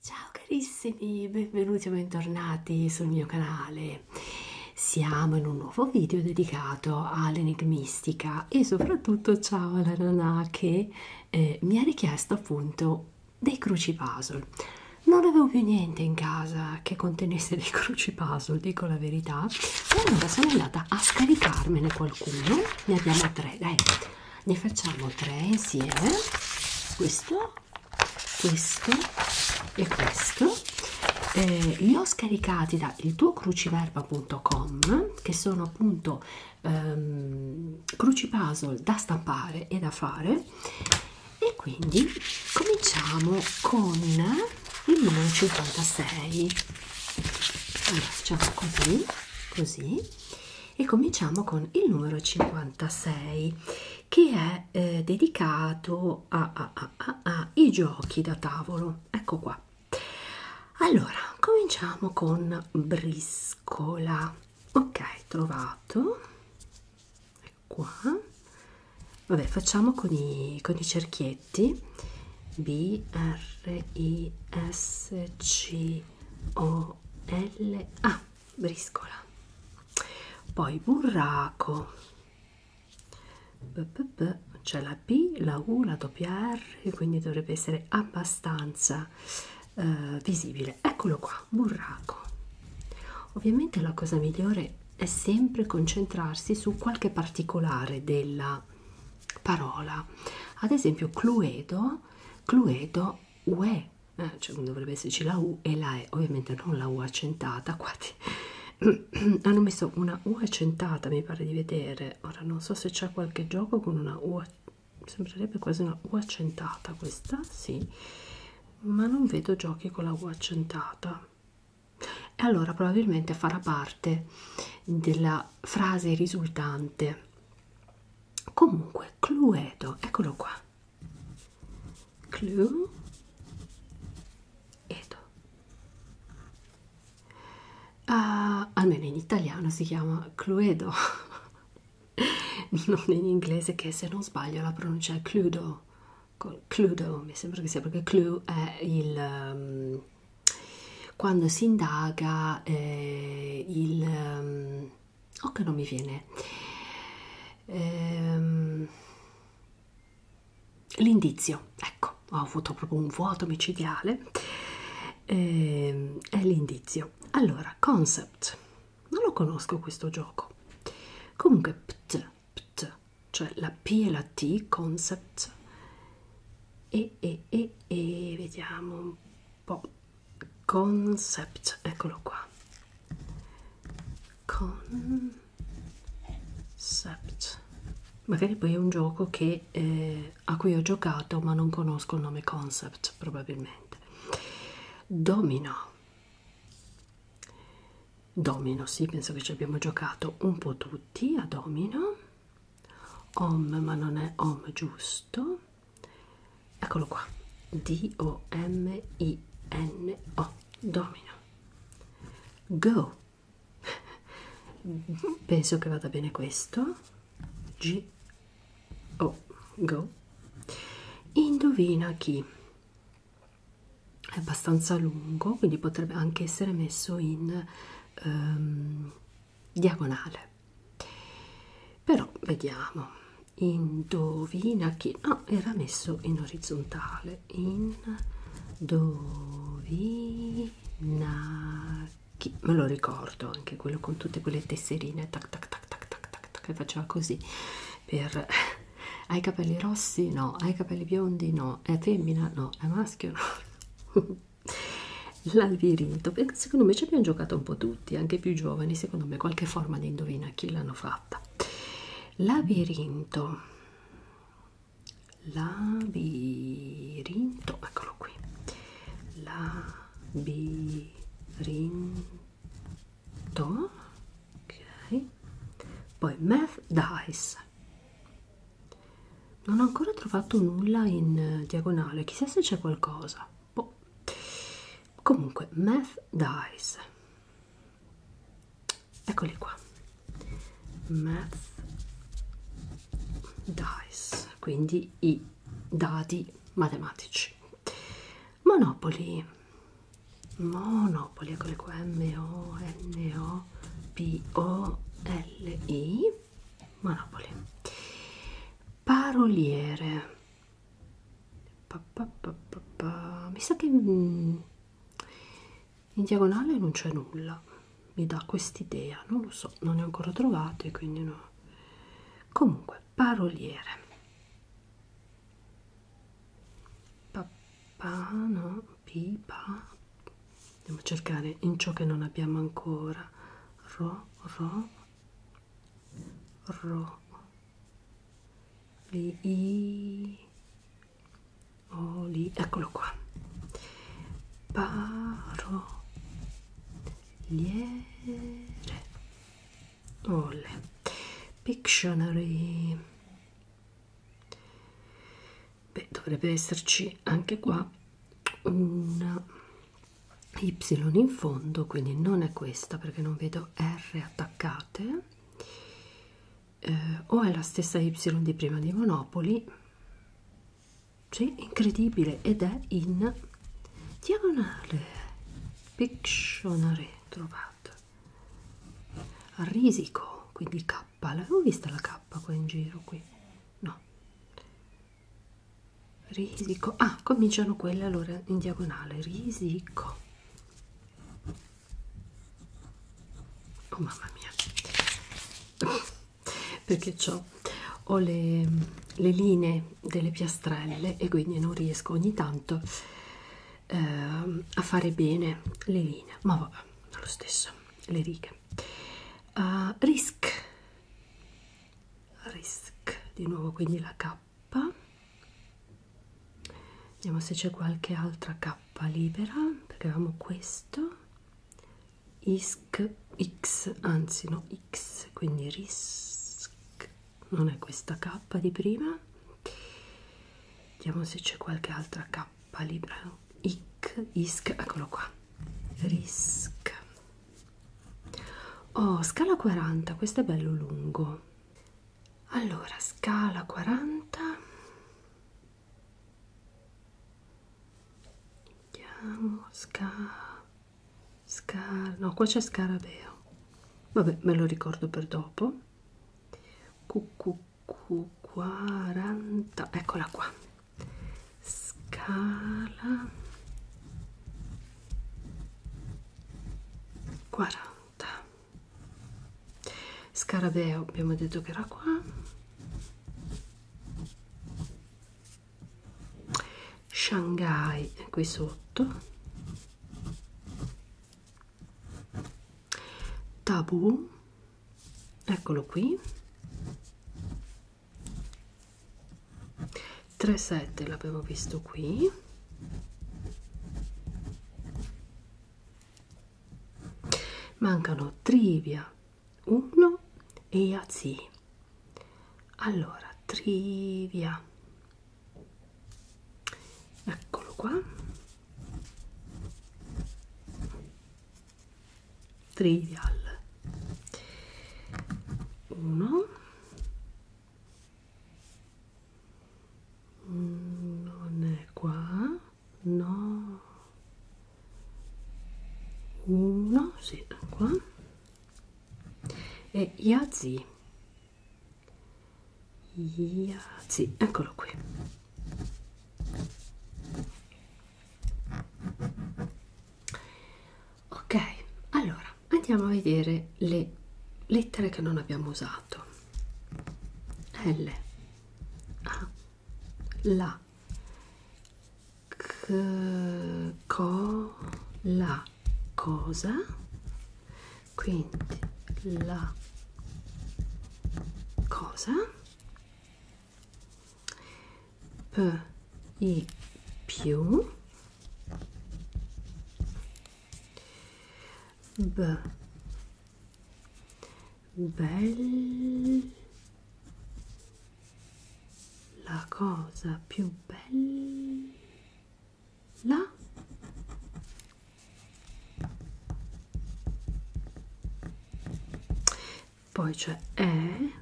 Ciao carissimi, benvenuti o bentornati sul mio canale. Siamo in un nuovo video dedicato all'enigmistica e soprattutto ciao alla Nanà che eh, mi ha richiesto appunto dei cruci puzzle. Non avevo più niente in casa che contenesse dei cruci puzzle, dico la verità, allora sono andata a scaricarmene qualcuno ne abbiamo tre dai ne facciamo tre insieme questo questo e questo eh, li ho scaricati da il tuo cruciverba.com che sono appunto ehm, crucipuzzle da stampare e da fare e quindi cominciamo con il numero 56 allora facciamo così così e cominciamo con il numero 56 che è eh, dedicato a, a, a, a, a i giochi da tavolo ecco qua allora cominciamo con briscola ok trovato è ecco qua vabbè facciamo con i, con i cerchietti brevetti B R I S C O L A briscola poi burraco c'è la B, la U, la doppia R quindi dovrebbe essere abbastanza eh, visibile eccolo qua, burraco ovviamente la cosa migliore è sempre concentrarsi su qualche particolare della parola ad esempio cluedo cluedo ue eh, cioè dovrebbe esserci la u e la e ovviamente non la u accentata qua hanno messo una u accentata mi pare di vedere ora non so se c'è qualche gioco con una u sembrerebbe quasi una u accentata questa sì ma non vedo giochi con la u accentata e allora probabilmente farà parte della frase risultante comunque cluedo eccolo qua cluedo uh, almeno in italiano si chiama cluedo non in inglese che se non sbaglio la pronuncia è cluedo Cluedo, mi sembra che sia perché Clue è il, um, quando si indaga eh, il um, oh che non mi viene ehm, l'indizio ecco ho avuto proprio un vuoto micidiale ehm, è l'indizio allora concept non lo conosco questo gioco comunque pt pt cioè la P e la T, concept, e, e, e, e vediamo un po', concept, eccolo qua, concept, magari poi è un gioco che, eh, a cui ho giocato ma non conosco il nome concept probabilmente, domino, domino, sì, penso che ci abbiamo giocato un po' tutti a domino home ma non è home giusto eccolo qua d o m i n o domino go penso che vada bene questo g o go indovina chi è abbastanza lungo quindi potrebbe anche essere messo in ehm, diagonale però vediamo indovina chi no era messo in orizzontale indovina chi me lo ricordo anche quello con tutte quelle tesserine tac tac tac tac tac tac, tac che faceva così per hai capelli rossi no hai capelli biondi no è femmina no è maschio no Labirinto, perché secondo me ci abbiamo giocato un po' tutti, anche più giovani, secondo me qualche forma di indovina chi l'hanno fatta. Labirinto, labirinto, eccolo qui. Labirinto, ok. Poi Math Dice, non ho ancora trovato nulla in eh, diagonale, chissà se c'è qualcosa. Boh. Comunque, Math Dice. Eccoli qua. Math Dice, quindi i dadi matematici. Monopoli. Monopoli, eccoli qua. M-O-N-O. P-O-L-I Monopoli Paroliere pa, pa, pa, pa, pa. Mi sa che mm, in diagonale non c'è nulla Mi dà quest'idea, non lo so, non ne ho ancora trovate quindi no Comunque, paroliere Papà, no pipa andiamo a cercare in ciò che non abbiamo ancora ro ro ro li i o li eccolo qua paro liere ole pictionary Beh, dovrebbe esserci anche qua una y in fondo, quindi non è questa perché non vedo R attaccate, eh, o è la stessa y di prima di Monopoli. Sì, incredibile, ed è in diagonale. Pictionary trovato. A risico, quindi K K, l'avevo vista la K qua in giro qui, no, risico, ah cominciano quelle allora in diagonale, risico, oh mamma mia, perché ho, ho le, le linee delle piastrelle e quindi non riesco ogni tanto eh, a fare bene le linee, ma vabbè, lo stesso le righe uh, risk risk di nuovo quindi la k vediamo se c'è qualche altra k libera perché avevamo questo Isk, x anzi no x quindi risk non è questa k di prima vediamo se c'è qualche altra k libero ic, isc, eccolo qua risk oh scala 40 questo è bello lungo allora scala 40 vediamo scala Scar no qua c'è scarabeo vabbè me lo ricordo per dopo QQQ Q40, eccola qua, scala 40. Scarabeo abbiamo detto che era qua. Shanghai è qui sotto. Tabù eccolo qui 37 l'avevo visto qui mancano trivia 1 e yazi allora trivia eccolo qua trivial 1 non è qua no 1 si sì, qua e Yazi Yazi eccolo qui ok allora andiamo a vedere le lettere che non abbiamo usato l a la c, co la cosa quindi la cosa per i più b belle, la cosa più bella poi c'è E,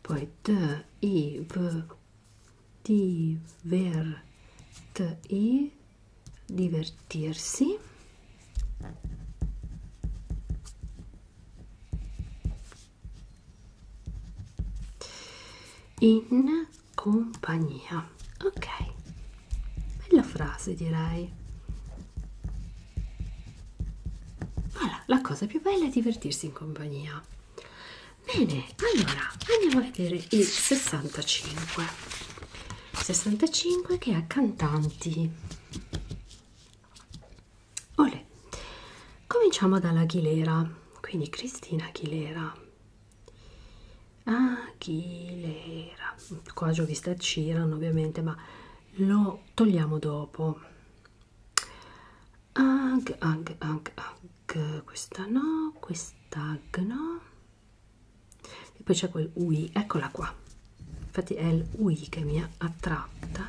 poi D, I, V, D, Ver, T, I, divertirsi, in compagnia. Ok, bella frase direi. Voilà, la cosa più bella è divertirsi in compagnia. Bene, allora andiamo a vedere il 65. 65 che ha cantanti. Olè. Cominciamo dall'Aguilera, quindi Cristina Aguilera. Achillera. Qua giovista c'erano ovviamente, ma lo togliamo dopo. Ag, ag, ag, ag. Questa no, questa no. E poi c'è quel UI, eccola qua. Infatti è il UI che mi ha attratta.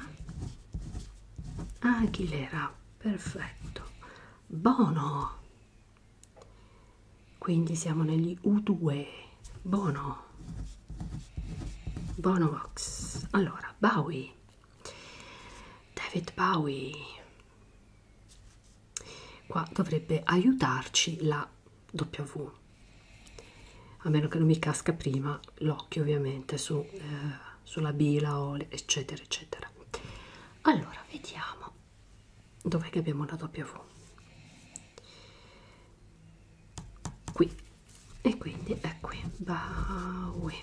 Achillera, perfetto. Bono quindi siamo negli U2 Bono Bono Vox allora Bowie David Bowie qua dovrebbe aiutarci la W a meno che non mi casca prima l'occhio ovviamente su, eh, sulla bila o eccetera eccetera allora vediamo dov'è che abbiamo la W? Qui e quindi è qui Bowie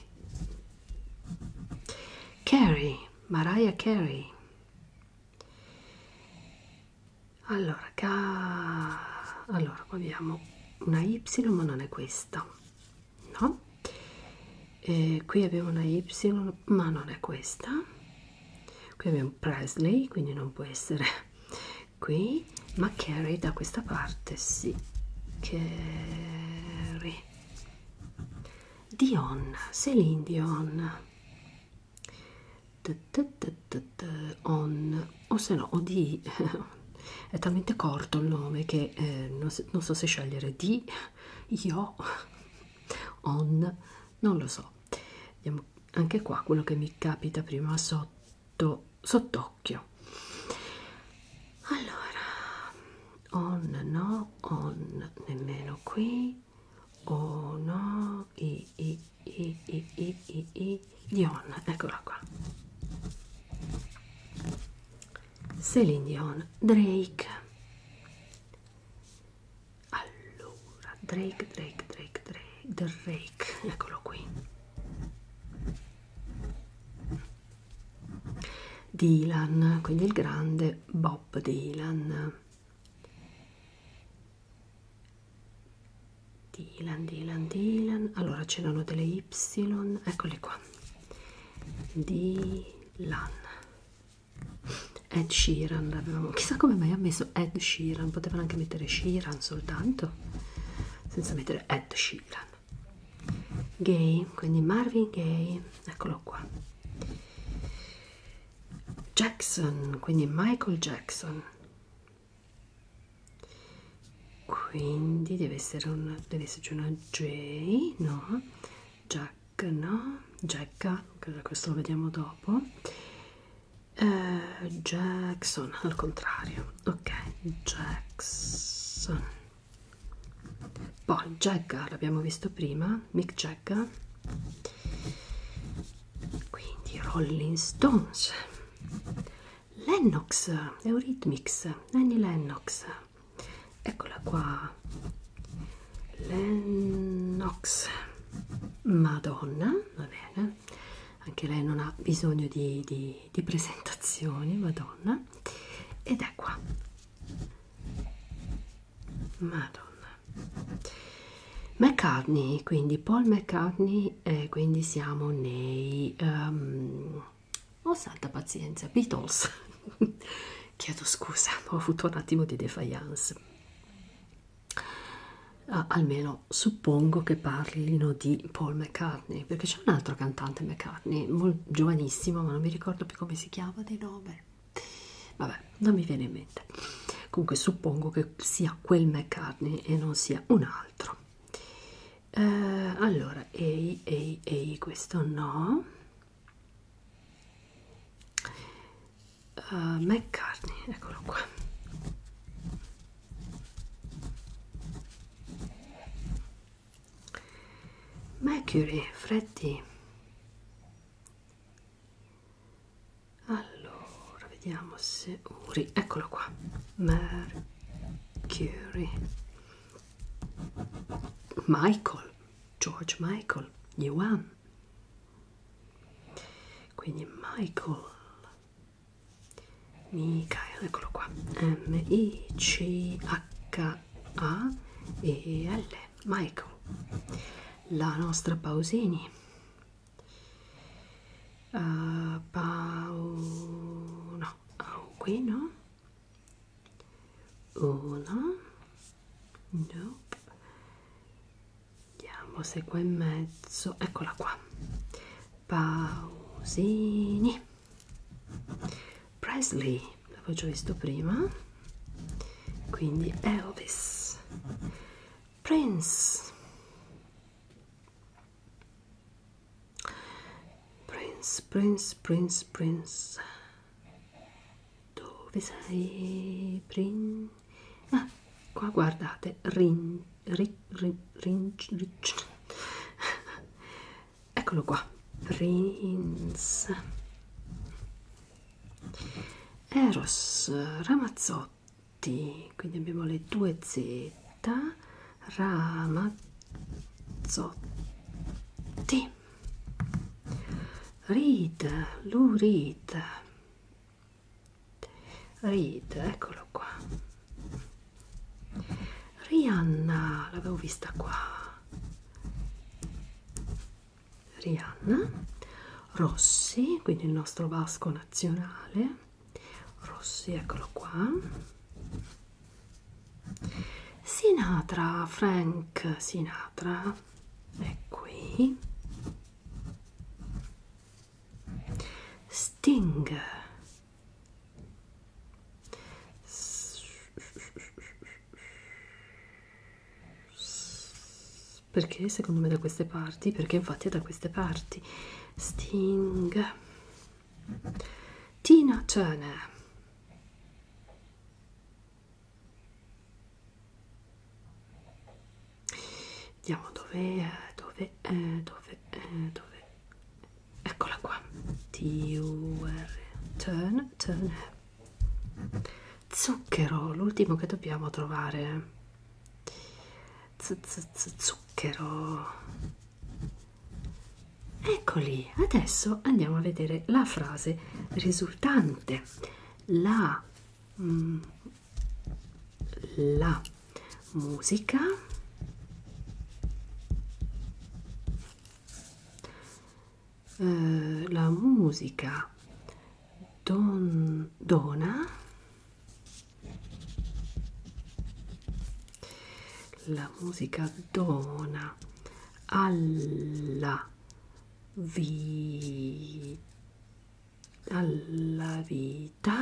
Carey Mariah Carey allora ca... allora qua abbiamo una Y ma non è questa no? E eh, qui abbiamo una Y ma non è questa qui abbiamo Presley quindi non può essere qui ma Carrie da questa parte sì Carrie Dion Celine Dion on o se no o di è talmente corto il nome che eh, non, non so se scegliere di io on non lo so vediamo anche qua quello che mi capita prima sotto sott'occhio allora on no on nemmeno qui oh no i i i i i i, i Dion eccola qua Celine Dion Drake allora Drake Drake Drake Drake Drake eccolo qui Dylan quindi il grande Bob Dylan Dylan Dylan Dylan allora c'erano delle Y eccole qua Dylan ed Sheeran avevamo, chissà come mai ha messo Ed Sheeran, potevano anche mettere Sheeran soltanto, senza mettere Ed Sheeran. Gay, quindi Marvin Gay, eccolo qua. Jackson, quindi Michael Jackson. Quindi deve, essere una, deve esserci una J, no? Jack no? Jacka, questo lo vediamo dopo. Eh, Jackson, al contrario, ok, Jackson. Poi Jacka, l'abbiamo visto prima, Mick Jacka. Quindi Rolling Stones. Lennox, Eurythmics, Annie Lennox eccola qua Lennox Madonna va bene anche lei non ha bisogno di, di, di presentazioni Madonna ed è qua Madonna McCartney quindi Paul McCartney e eh, quindi siamo nei um, oh santa pazienza Beatles chiedo scusa ho avuto un attimo di defiance ah, almeno suppongo che parlino di Paul McCartney perché c'è un altro cantante McCartney molto, giovanissimo ma non mi ricordo più come si chiama di nome vabbè non mi viene in mente comunque suppongo che sia quel McCartney e non sia un altro eh, allora ehi ehi ehi questo no Uh, McCartney, eccolo qua. Mercury, Freddy. Allora, vediamo se Uri, eccolo qua. Mercury. Michael George Michael, Yuan. Quindi Michael, Michael, eccolo qua, M-I-C-H-A-E-L, Michael. La nostra Pausini. Uh, Pau... no, oh, qui no? 1 nope. andiamo segue in mezzo eccola qua pausini Presley l'avevo già visto prima quindi Elvis Prince Prince Prince Prince Prince dove sei? Prin... Ah, qua guardate, rin, rin, rin, rin, rin. eccolo qua, Prince, Eros, Ramazzotti, quindi abbiamo le due Z, Ramazzotti, Read, Lou Read, Read, eccolo qua. Rihanna, l'avevo vista qua. Rihanna, Rossi, quindi il nostro vasco nazionale. Rossi, eccolo qua. Sinatra, Frank Sinatra, è qui. Sting. Perché secondo me da queste parti? Perché infatti è da queste parti. Sting. Tina Turner vediamo dove dove eh, dove eh, dove eccola qua TUR turn turn zucchero l'ultimo che dobbiamo trovare z -z -z zucchero Eccoli, adesso andiamo a vedere la frase risultante. La, mm, la musica eh, la musica don, dona la musica dona alla vi alla vita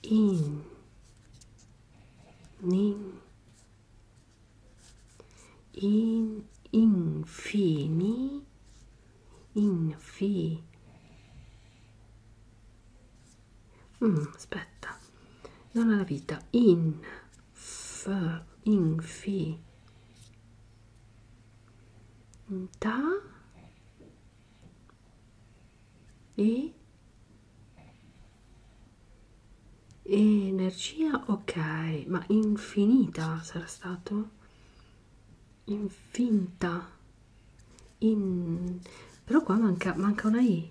in in, in infini infi Mm, aspetta, non alla vita, in, f, in, fi, in ta, e, energia, ok, ma infinita sarà stato? infinta in però qua manca, manca una i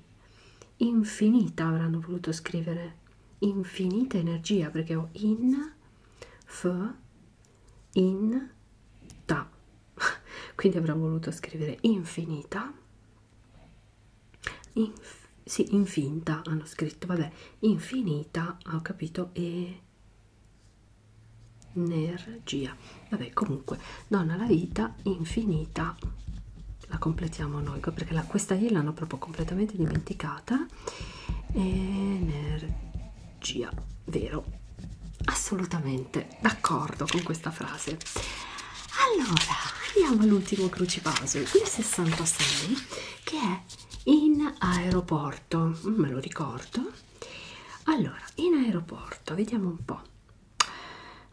infinita avranno voluto scrivere infinita energia perché ho in f in ta quindi avrà voluto scrivere infinita Inf sì infinta hanno scritto vabbè infinita ho capito e energia vabbè comunque donna la vita infinita la completiamo noi perché la, questa io l'hanno proprio completamente dimenticata energia vero assolutamente d'accordo con questa frase allora andiamo all'ultimo crucivaso il 66 che è in aeroporto me lo ricordo allora in aeroporto vediamo un po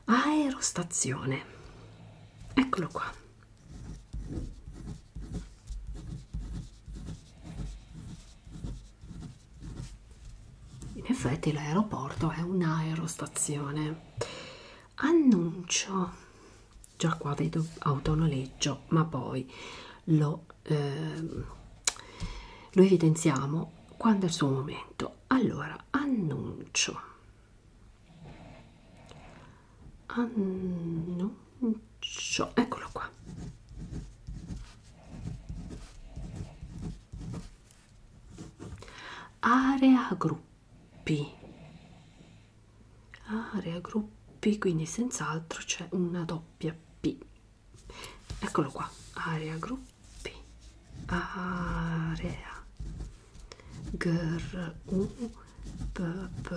aerostazione eccolo qua in effetti l'aeroporto è un'aerostazione annuncio già qua vedo autonoleggio ma poi lo eh, lo evidenziamo quando è il suo momento. Allora, annuncio. Annuncio. Eccolo qua. Area gruppi. Area gruppi, quindi senz'altro c'è una doppia P eccolo qua area gruppi area gr u p p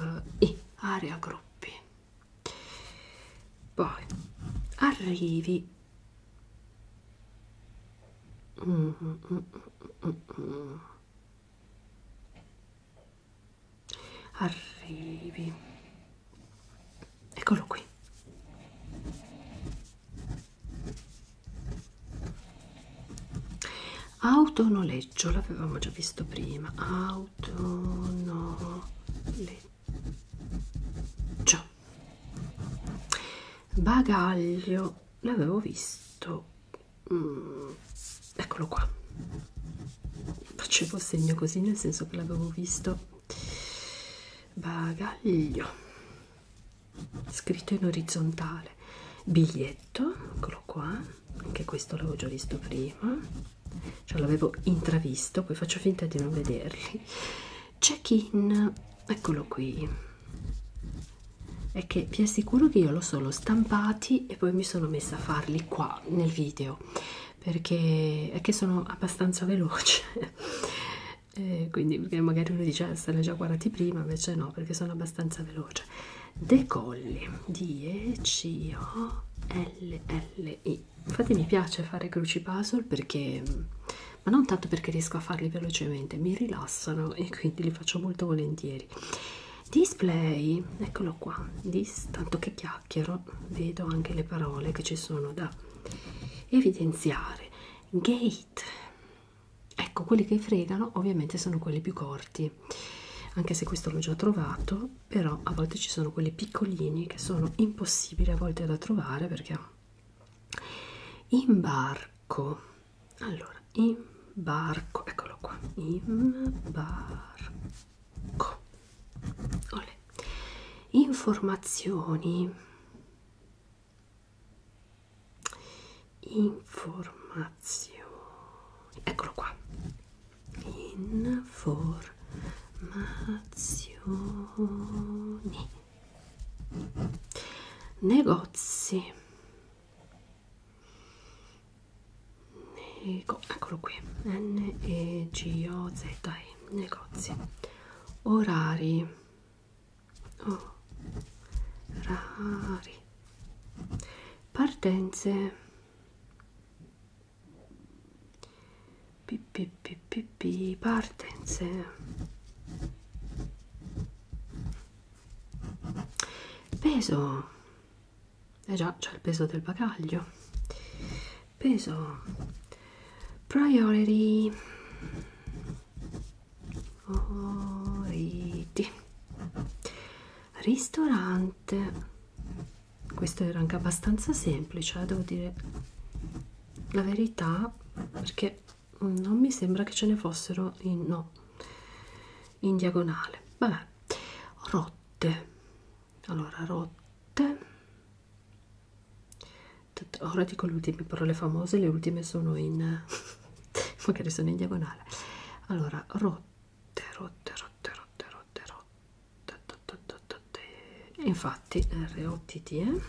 i area gruppi poi arrivi mm, mm, mm, mm, mm. Arrivi eccolo qui autonoleggio l'avevamo già visto prima autonoleggio bagaglio l'avevo visto mm, eccolo qua facevo segno così nel senso che l'avevo visto bagaglio scritto in orizzontale biglietto eccolo qua anche questo l'avevo già visto prima cioè l'avevo intravisto poi faccio finta di non vederli check in eccolo qui è che vi assicuro che io l'ho solo stampati e poi mi sono messa a farli qua nel video perché è che sono abbastanza veloce eh, quindi perché magari uno dice ah, se l'hai già guardati prima invece no perché sono abbastanza veloce decolli d e c o l l i infatti mi piace fare cruci puzzle perché ma non tanto perché riesco a farli velocemente mi rilassano e quindi li faccio molto volentieri display eccolo qua Dis, tanto che chiacchiero vedo anche le parole che ci sono da evidenziare gate ecco quelli che fregano ovviamente sono quelli più corti anche se questo l'ho già trovato però a volte ci sono quelli piccolini che sono impossibili a volte da trovare perché imbarco allora imbarco eccolo qua imbarco Olè. Informazioni. Informazioni. Eccolo qua. Informazioni. Negozi. Nego eccolo qui. N E G O Z E negozi orari orari oh, partenze pi, pi, pi, pi, pi, partenze peso eh già c'è il peso del bagaglio peso priority Oriti. ristorante questo era anche abbastanza semplice eh, devo dire la verità perché non mi sembra che ce ne fossero in, no, in diagonale vabbè rotte allora rotte ora dico le ultime parole famose le ultime sono in magari sono in diagonale allora rotte rotte rotte rotte rotte rotte infatti rott eh?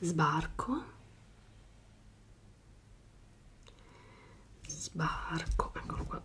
sbarco sbarco eccolo qua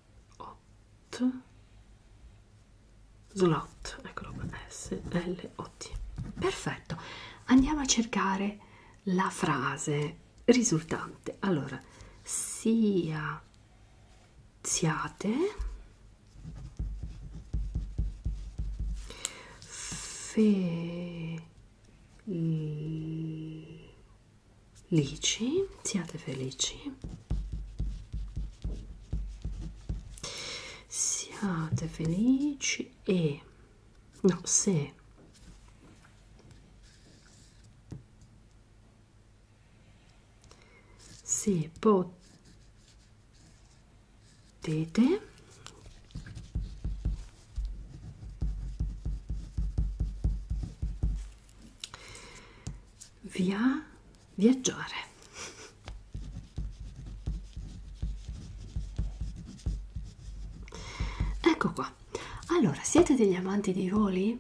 hot slot eccolo qua s l o t perfetto andiamo a cercare la frase risultante allora sia siate felici lisci, siate felici, siate felici e no, se se potete via viaggiare ecco qua allora siete degli amanti dei voli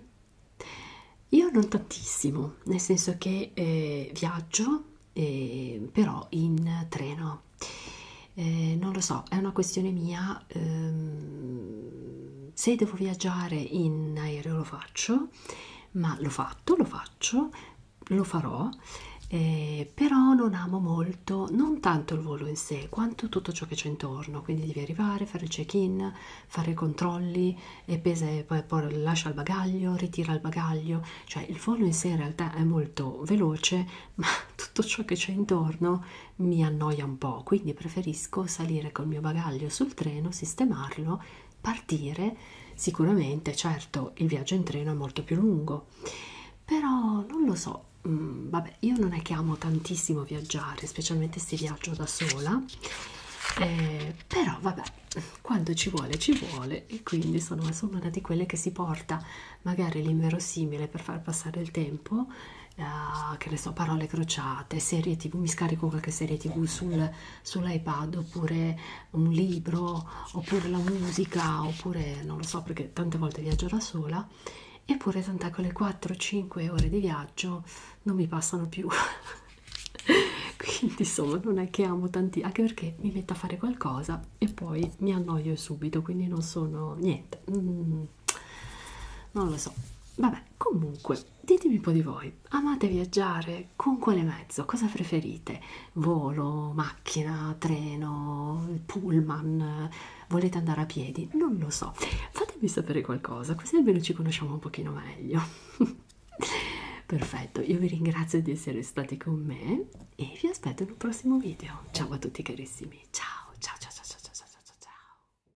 io non tantissimo nel senso che eh, viaggio eh, però in treno eh, non lo so è una questione mia ehm, se devo viaggiare in aereo lo faccio, ma l'ho fatto, lo faccio, lo farò, eh, però non amo molto, non tanto il volo in sé, quanto tutto ciò che c'è intorno, quindi devi arrivare, fare il check-in, fare i controlli, e pesa, poi, poi lascia il bagaglio, ritira il bagaglio, cioè il volo in sé in realtà è molto veloce, ma tutto ciò che c'è intorno mi annoia un po', quindi quindi preferisco salire col mio bagaglio sul treno, sistemarlo, partire. Sicuramente, certo, il viaggio in treno è molto più lungo, però non lo so. Mm, vabbè, io non è che amo tantissimo viaggiare, specialmente se viaggio da sola. Eh, però vabbè, quando ci vuole ci vuole e quindi sono, sono una di quelle che si porta magari l'inverosimile per far passare il tempo uh, che ne so, parole crociate, serie tv, mi scarico qualche serie tv sul, sull'iPad oppure un libro, oppure la musica, oppure non lo so perché tante volte viaggio da sola, eppure tant'è che le 4-5 ore di viaggio non mi passano più. Quindi insomma non è che amo tanti, anche perché mi metto a fare qualcosa e poi mi annoio subito, quindi non sono niente. Mm, non lo so vabbè comunque ditemi un po' di voi amate viaggiare con quale mezzo cosa preferite volo macchina treno pullman volete andare a piedi non lo so fatemi sapere qualcosa così almeno ci conosciamo un pochino meglio perfetto io vi ringrazio di essere stati con me e vi aspetto in un prossimo video ciao a tutti carissimi ciao ciao ciao ciao ciao ciao ciao ciao ciao